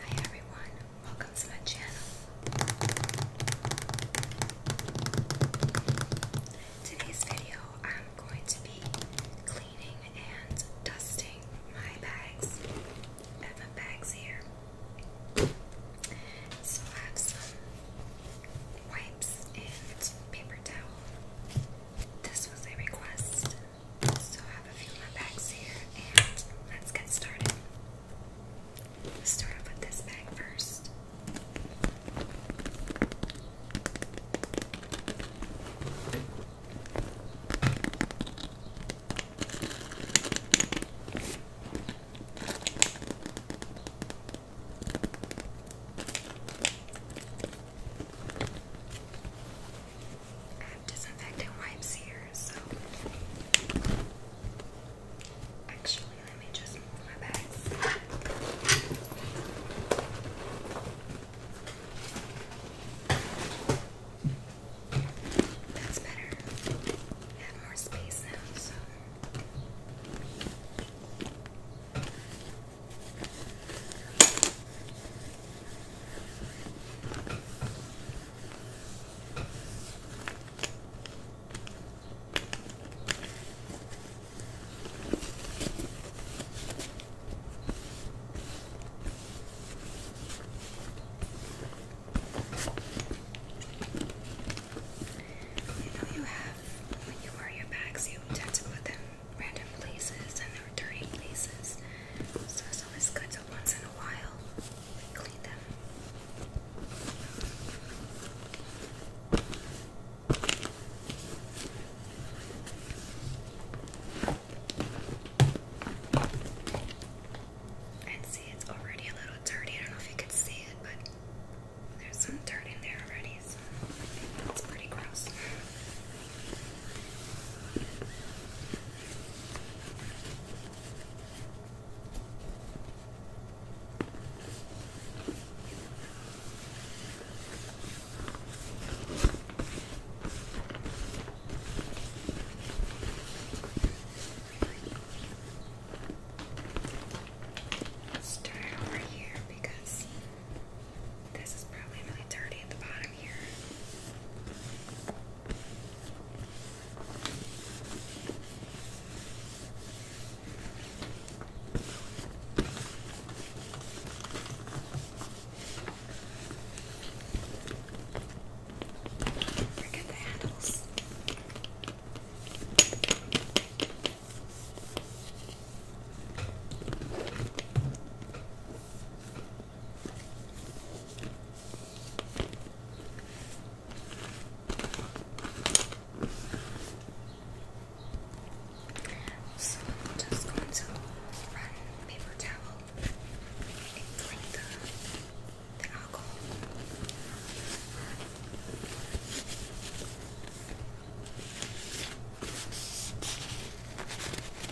Hi everyone, welcome to my channel. Today's video, I'm going to be cleaning and dusting my bags. I have some wipes and paper towel. This was a request so I have a few more bags here and let's get started. start off with this bag first. I have disinfectant wipes here, so actually, let me just move my bags. That's better. I have more space now, so. You know you have when you wear your bags you tend to put them random places and they're dirty places so it's always good to once in a while clean them. And see, it's already a little dirty. I don't know if you can see it, but there's some dirt in there already, it's pretty gross. Let's over here because this is probably really dirty at the bottom out of here. Forget the handles. Okay. So I'm just going to run paper towel and clean the, the alcohol. Okay.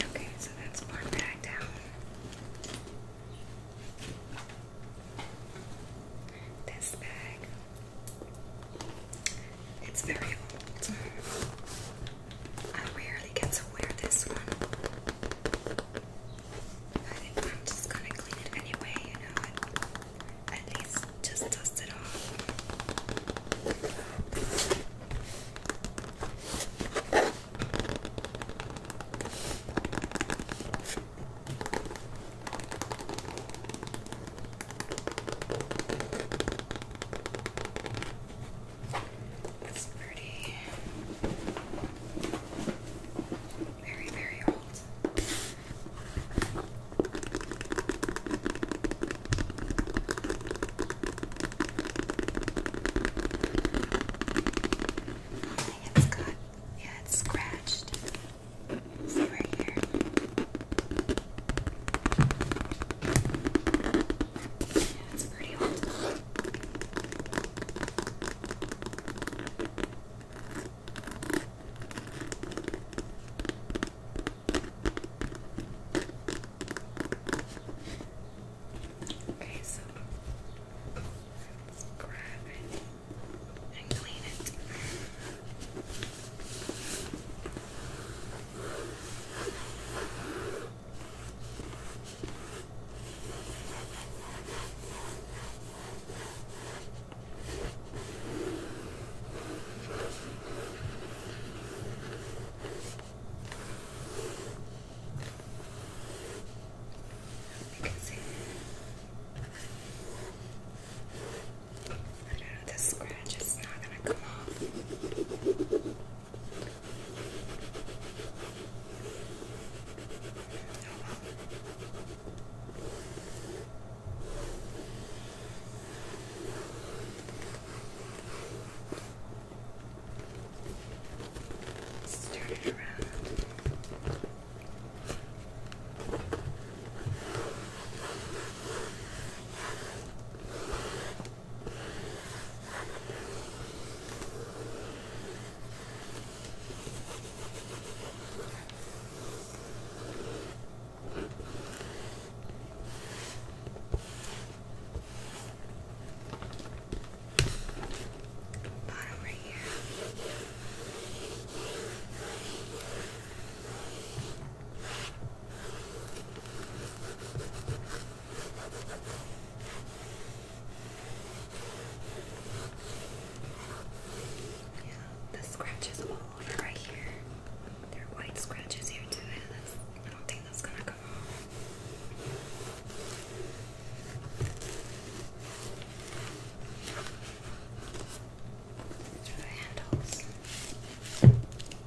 Okay, so that's one bag down. This bag. It's very old. I rarely get to wear this one. I am just gonna clean it anyway, you know, at least just dust it off. It's pretty. Very, very old. yeah, it's scratched. See right here. Yeah, pretty old. Okay, so let's grab it and clean it. You can see. I don't know, the scratch is not gonna come off. Let's turn it around. Bottom right here. Right yeah, the scratches all over right here. There are white scratches here too, I don't think that's gonna come off. These are the handles.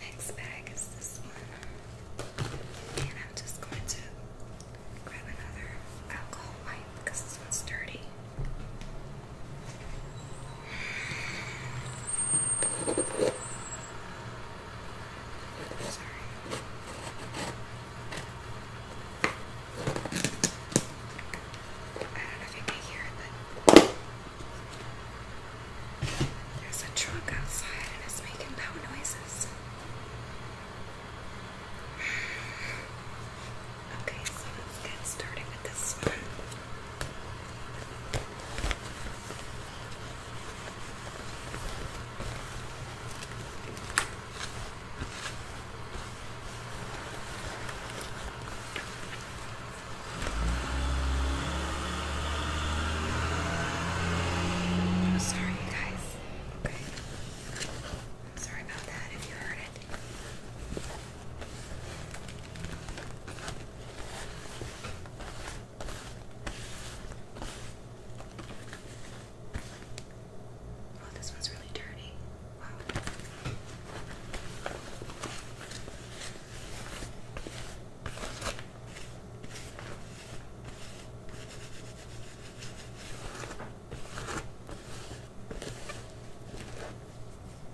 Next bag is this one, and I'm just going to grab another alcohol wipe because this one's dirty. Sorry. I don't know if you can hear it, but there's a truck outside and it's making loud noises. Okay, so let's get started with this one. I'm oh, sorry, guys. Sorry about that if you heard it. Oh, this one's really dirty. Wow.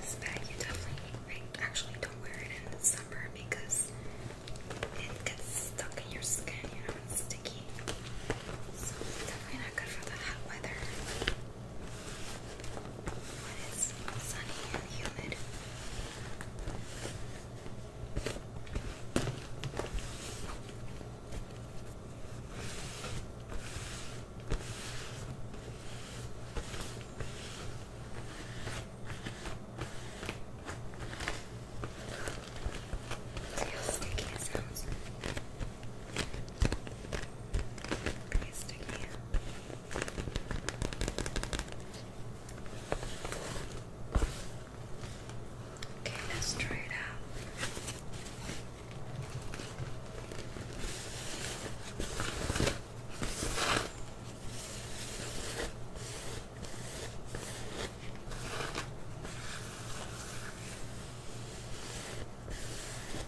This bag you definitely actually don't wear it in the summer because it gets stuck in your skin, you know, it's sticky. So definitely not good for the hot weather it's sunny and humid. See sticky it sounds. Pretty sticky. Okay, let's try it out.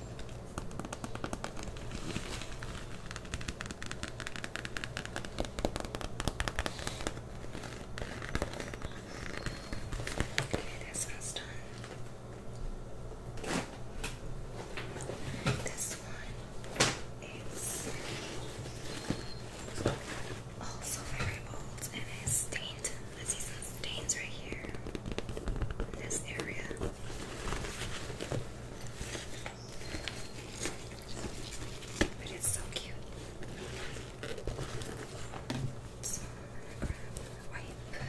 Okay, this one's done. This one is also very bold and is stained I see some stains right here in this area. But it's so cute. So wipe.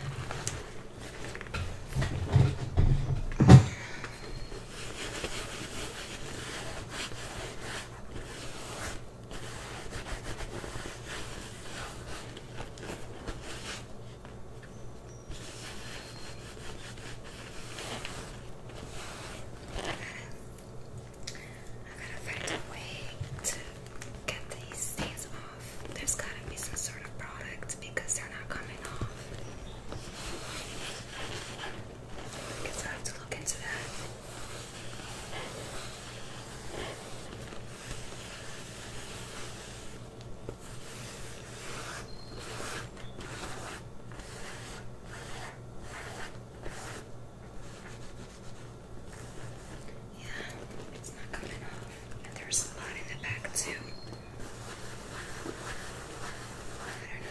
I gotta find a way to get these stains off. There's gotta be some sort of product because they're not coming off. I guess I have to look into that. Yeah, it's not coming off. And there's a lot in the back too. I don't know.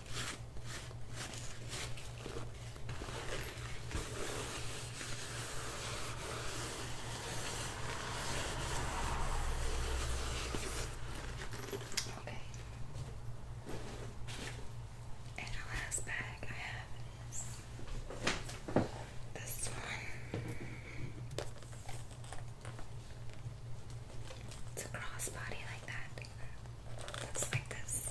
Okay. And the last bag I have is this one. It's a crossbody like that. Looks like this.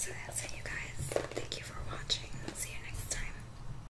So that's it, you guys. Thank you for watching. See you next time.